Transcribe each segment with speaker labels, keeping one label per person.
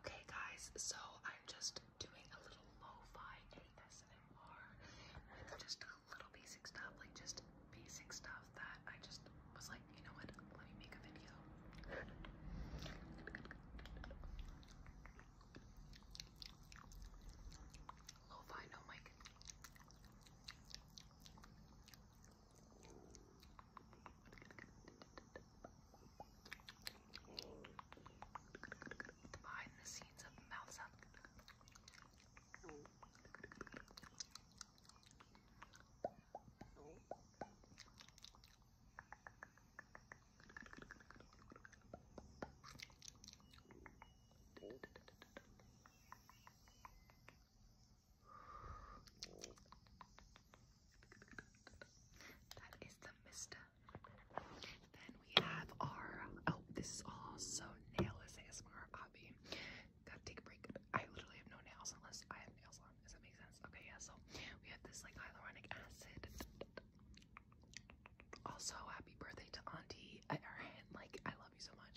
Speaker 1: Okay, guys, so I'm just doing a little lo-fi ASMR with just a little basic stuff, like just basic stuff that I just was like, you know what, let me make a video. Lo-fi, no mic. Behind the scenes of mouth sound. That is the Mista. Then we have our, oh, this is also nailless ASMR hobby. Gotta take a break. I literally have no nails unless I have nails on. Does that make sense? Okay, yeah, so we have this like hyaluronic acid. Also, happy birthday to Auntie Erin. Like, I love you so much.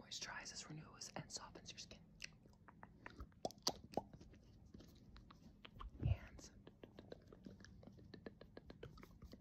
Speaker 1: Moisturizes, renews, and softens your skin.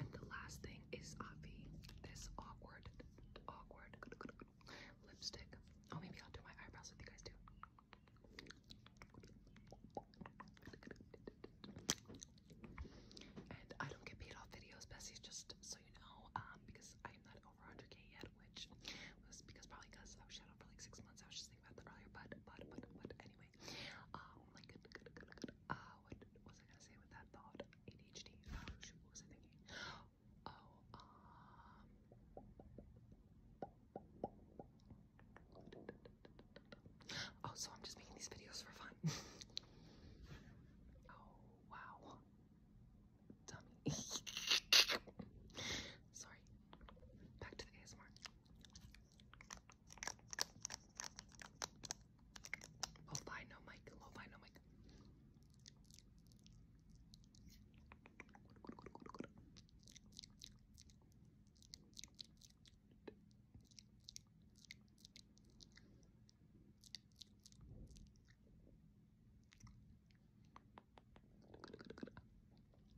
Speaker 1: And the last thing is Avi, this awkward, awkward lipstick. Oh, maybe I'll do my eyebrows with you guys too. And I don't get paid off videos, Bessie, just so you know, um, because I'm not over 100k yet, which was because probably because I was shut for like six months. I was just thinking about that earlier, but, but, but, but, anyway anyway, um, like, uh, what was I gonna say with that thought? ADHD. Oh shoot, what was I thinking? Oh, um, oh, so I'm just making these videos for fun. oh wow, dummy. Sorry. Back to the ASMR. Low fi, mic. Low fi, mic.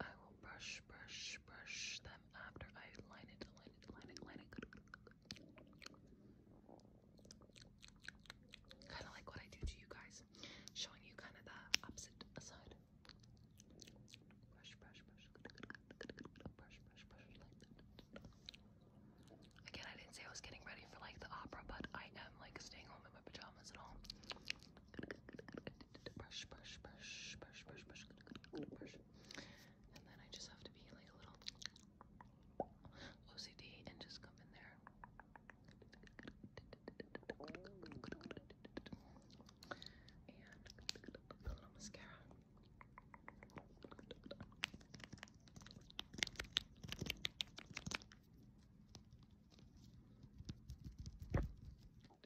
Speaker 1: I will brush, brush, brush them after I line it, line it, line it, line it. Kind of like what I do to you guys, showing you kind of the opposite side. Brush, brush, brush, brush, brush, brush, like that. Again, I didn't say I was getting ready for like the opera, but I am like staying home in my pajamas and all brush, brush, brush, brush, brush, brush, brush. And then I just have to be like a little OCD and just come in there. And a little mascara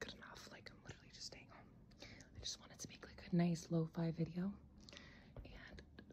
Speaker 1: Good enough. Like I'm literally just staying home. I just wanted to make like a nice lo-fi video. And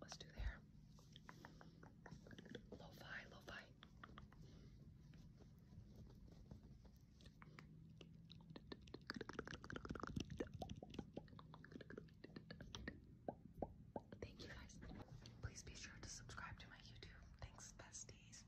Speaker 1: Let's do there. Lo-fi, lo-fi. Thank you guys. Please be sure to subscribe to my YouTube. Thanks, besties.